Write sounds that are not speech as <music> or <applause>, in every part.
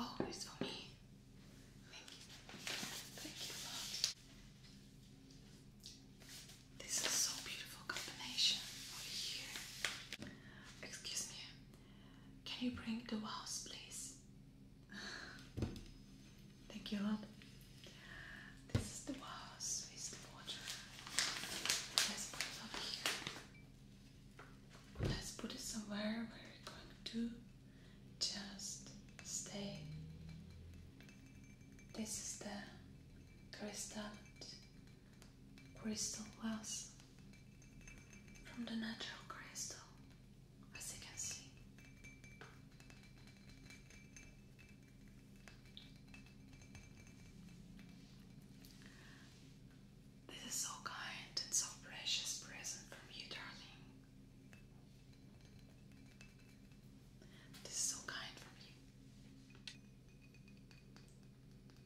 Oh, it's for me. Thank you. Thank you, This is so beautiful combination over here. Excuse me, can you bring the vase, please? Thank you, love. This is the vase Is the water. Let's put it here. Let's put it somewhere where it's going to just stay. This is the crystal crystal wells from the natural crystal, as you can see. This is so kind and so precious present from you, darling. This is so kind from you.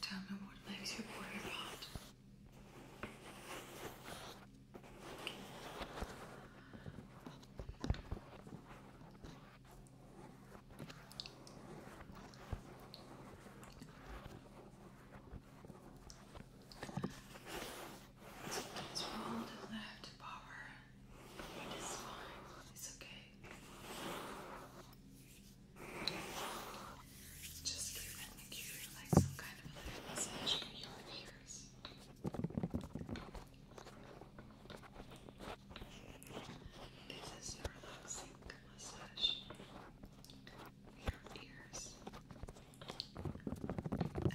Tell me what makes you worry about. It's all left power. It is fine. It's okay. Just give you like some kind of a massage for your ears. This is a relaxing massage your ears. Uh,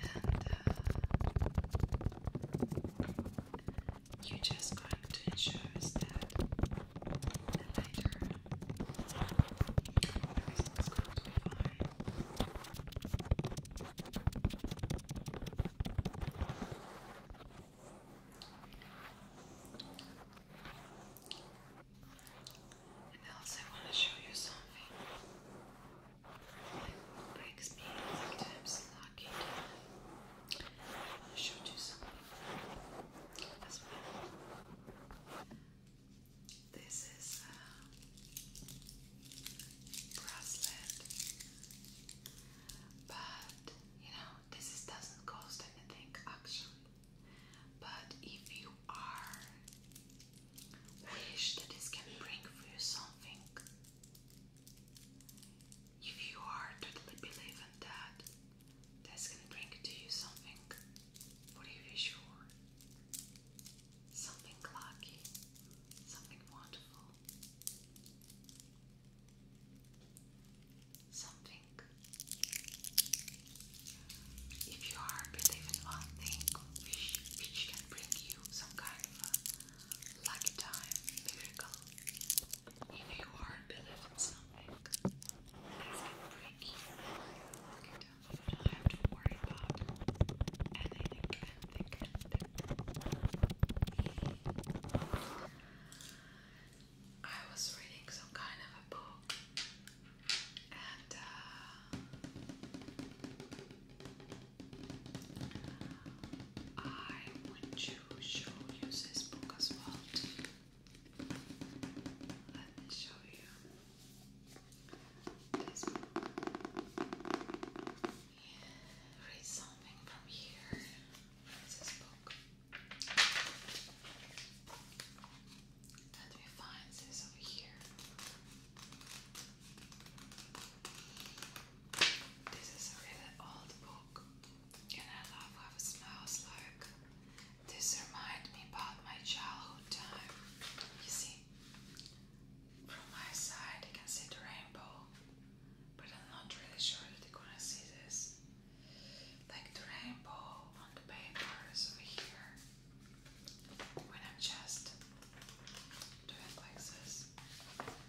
you're just going to ensure is that the everything is going to be fine. And also I want to show you something that makes me sometimes you should do something This is a uh, bracelet, but you know, this doesn't cost anything actually. But if you are wish that this can bring for you something. If you are totally believe in that, that's gonna bring to you something What are you sure. Something lucky, something wonderful, something. If you are believing one thing, which, which can bring you some kind of lucky time, miracle, you you are a something. That's going break it down. don't have to worry about anything, I was reading some kind of a book and uh, I want to show you this book as well. Let me show you this book. Read something from here. This book. Let me find this over here. This is a really old book and I love how it smells like. This reminds me about my childhood time. You see, from my side I can see the rainbow, but I'm not really sure that they are gonna see this. Like the rainbow on the papers over here. When I'm just doing like this.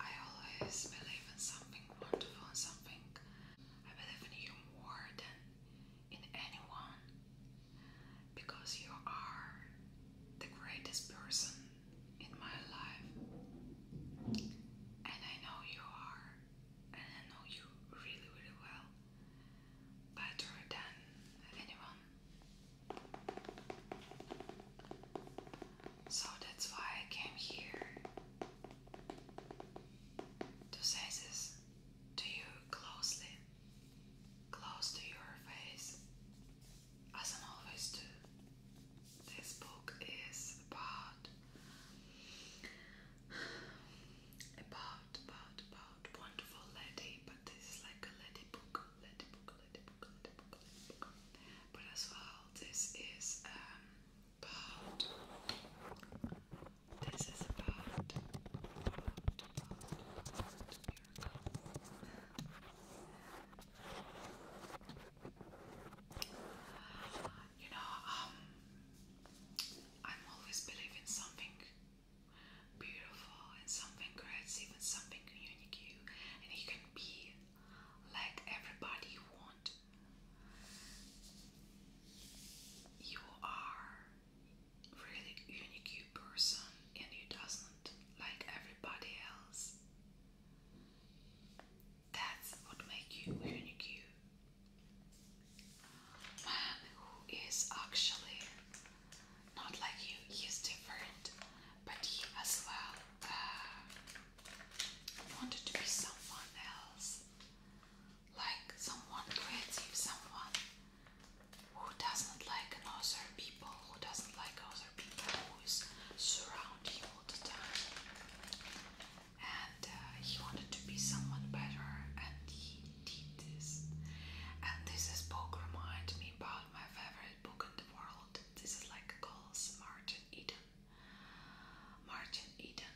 I always believe in something wonderful and something. I believe in you more than in anyone because you are the greatest person in my life, and I know you are, and I know you really, really well, better than anyone. So that's why I came here to say this to you closely, close to your face, as I always do. This book is about, about, about, about wonderful lady, but this is like a lady book, lady book, lady book, lady book, lady book. But as well, this is um, part. This is about You know, um, I'm always believe something beautiful and something creative and something unique, and you can be like everybody want. You are really unique person and you doesn't like everybody else. That's what make you unique Man who is actually not like you, he's different, but he as well uh, wanted to be someone else, like someone creative, someone who doesn't like other people, who doesn't like other people, who is surround you all the time. And uh, he wanted to be someone better, and he did this. And this is book remind me about my favorite book in the world. This is like Calls Martin Eden. Martin Eden.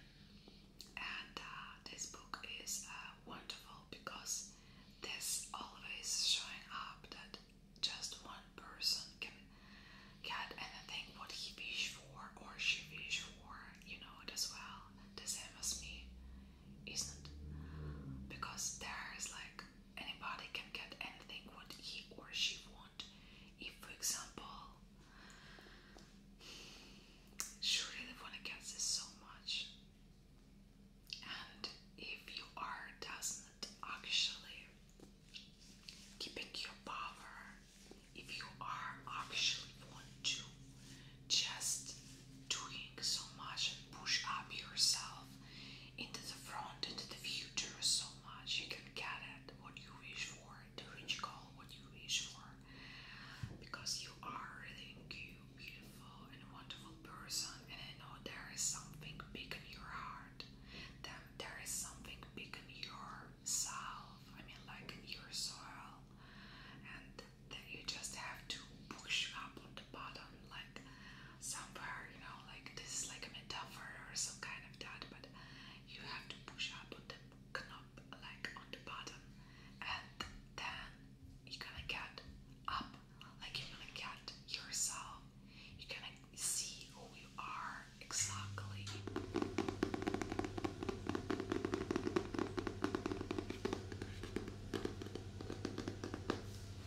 And uh, this book is uh, wonderful because this always showing up that just one person can get anything what he wish for or she wish for. You know it as well. The same as me, isn't? Because there is like anybody can get anything what he or she wants. If, for example, surely the phone gets this so much, and if you are doesn't actually keeping your power, if you are actually want to just doing so much and push up yourself into the front, into the future, much. You can get it what you wish for, the rich goal what you wish for, because you are really cute, beautiful, and wonderful person. And I know there is something big in your heart. Then there is something big in yourself. I mean, like in your soil, and that you just have to push up on the bottom, like somewhere, you know, like this is like a metaphor or some kind of that, but you have to push up on the knob, like on the bottom, and then you're gonna get up, like you're gonna get yourself, you're gonna see who you are exactly.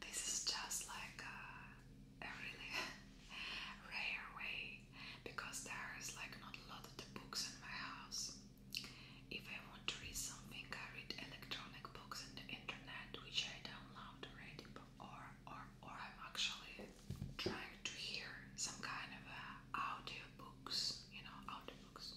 This is just like uh, a, really <laughs> rare way because there is like not a lot of the books in my house. If I want to read something, I read electronic books on the internet, which I download or or or I'm actually trying to hear some kind of uh, audio books, you know, audio books.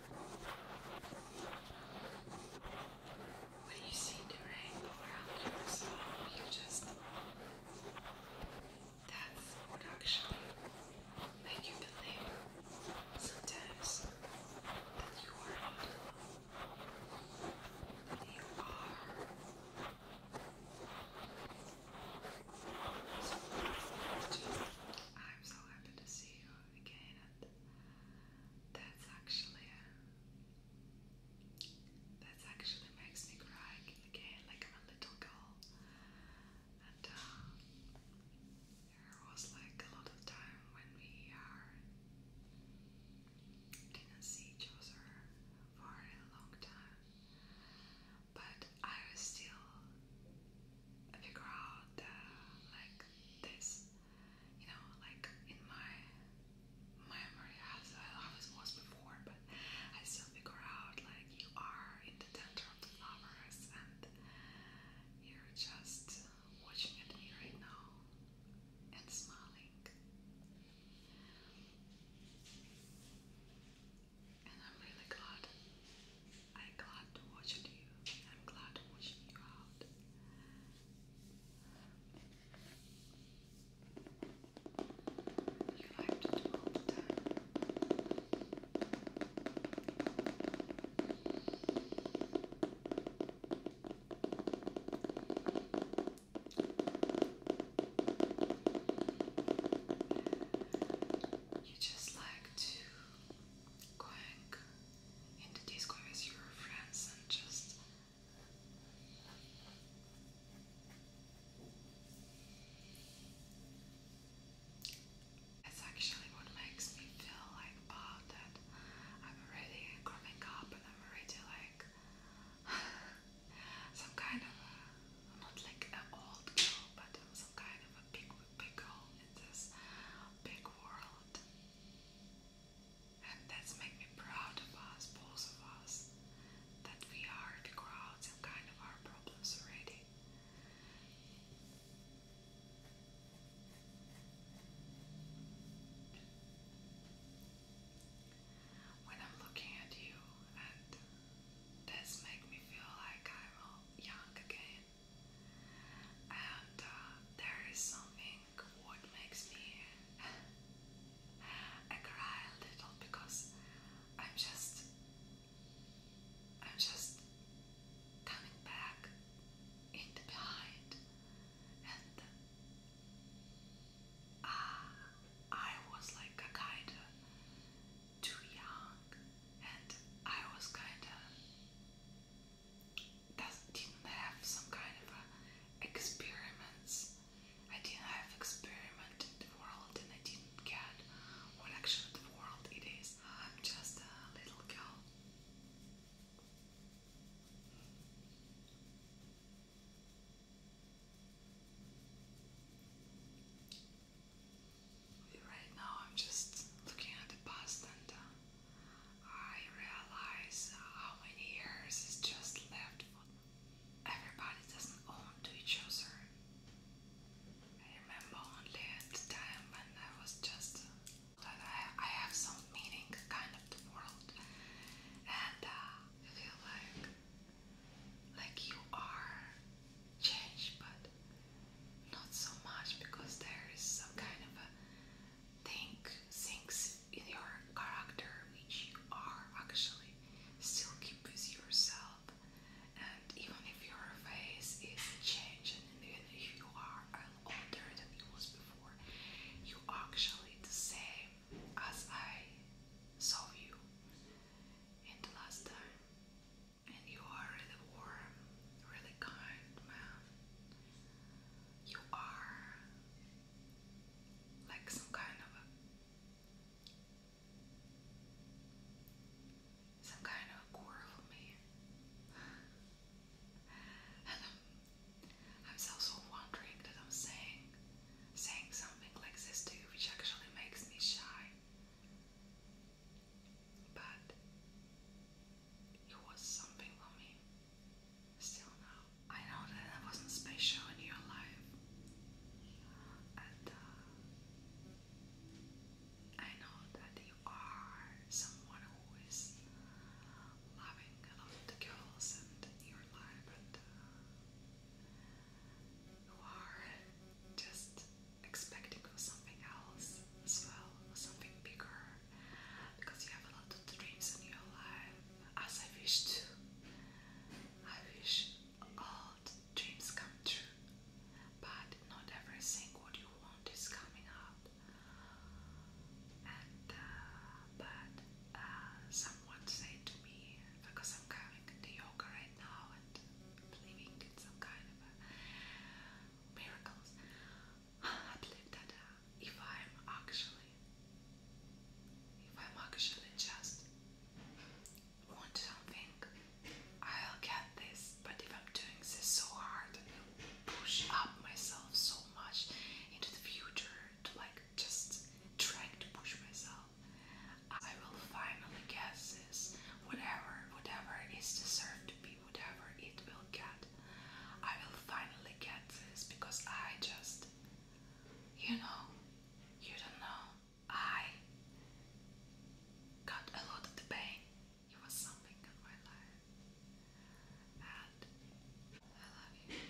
When you see the rainbow around your you just. That's what make you believe sometimes that you are not alone. you are. So, I'm so happy to see you again, and that's actually that's actually makes me cry again, like a little girl. And uh, there was like a lot of time when we are didn't see each other for a long time, but I was still figure out uh, like this, you know, like in my memory as I was before, but I still figure out like you are in the center of the flowers and you're just watching at me right now and smiling and I'm really glad. I'm glad to watch you. I'm glad to watch you out. You like to do You just like to going into disco with your friends and just it's actually what makes me feel like oh that I'm already growing up and I'm already like <sighs> some kind of a, not like an old girl but I'm some kind of a big big girl this big world. And that's made me proud of us, both of us, that we are the crowds and kind of our problems already. When I'm looking at you, and this me feel like I'm young again and uh, there is something what makes me I cry a little because I'm just I'm just coming back in the behind and uh, I was like a kind too young and I was kind of didn't have some kind of experiments. I didn't have experiment in the world and I didn't get what actually the world it is. I'm just a little girl. Right now, I'm just looking at the past and uh, I realize how many years is just left. Everybody doesn't own to each other. I remember only the time when I was just that I, have some meaning kind of the world, and uh, I feel like like you are change, but not so much because there is some kind of a thing, things in your character which you are actually still keep with yourself. And even if your face is changing, and even if you are older than you was before, you are actually the same as I saw you in the last time. And you are really warm, really kind man. You are like some kind of some kind of a <laughs> I'm, also wondering that I'm saying saying something like this too, which actually makes me shy. But it was something for me. Still now, I know that I wasn't special in your life, and uh, I know that you are someone who is loving a lot of girls and your life, and uh, you are just expecting for something else as well, or something bigger, because you have a lot of dreams in your life, as I wish to. I wish all dreams come true, but not everything what you want is coming up. And uh, but uh, someone said to me because I'm coming to yoga right now believing in some kind of miracles. I believe that uh, if I'm actually, if I'm actually just want something, I'll get this. But if I'm doing this so hard and push up myself so much into the future to like just trying to push myself I will finally guess this. Whatever, whatever is deserved to be, whatever it will get. I will finally get this because I just, you know, you don't know. I got a lot of pain. It was something in my life. And I love you.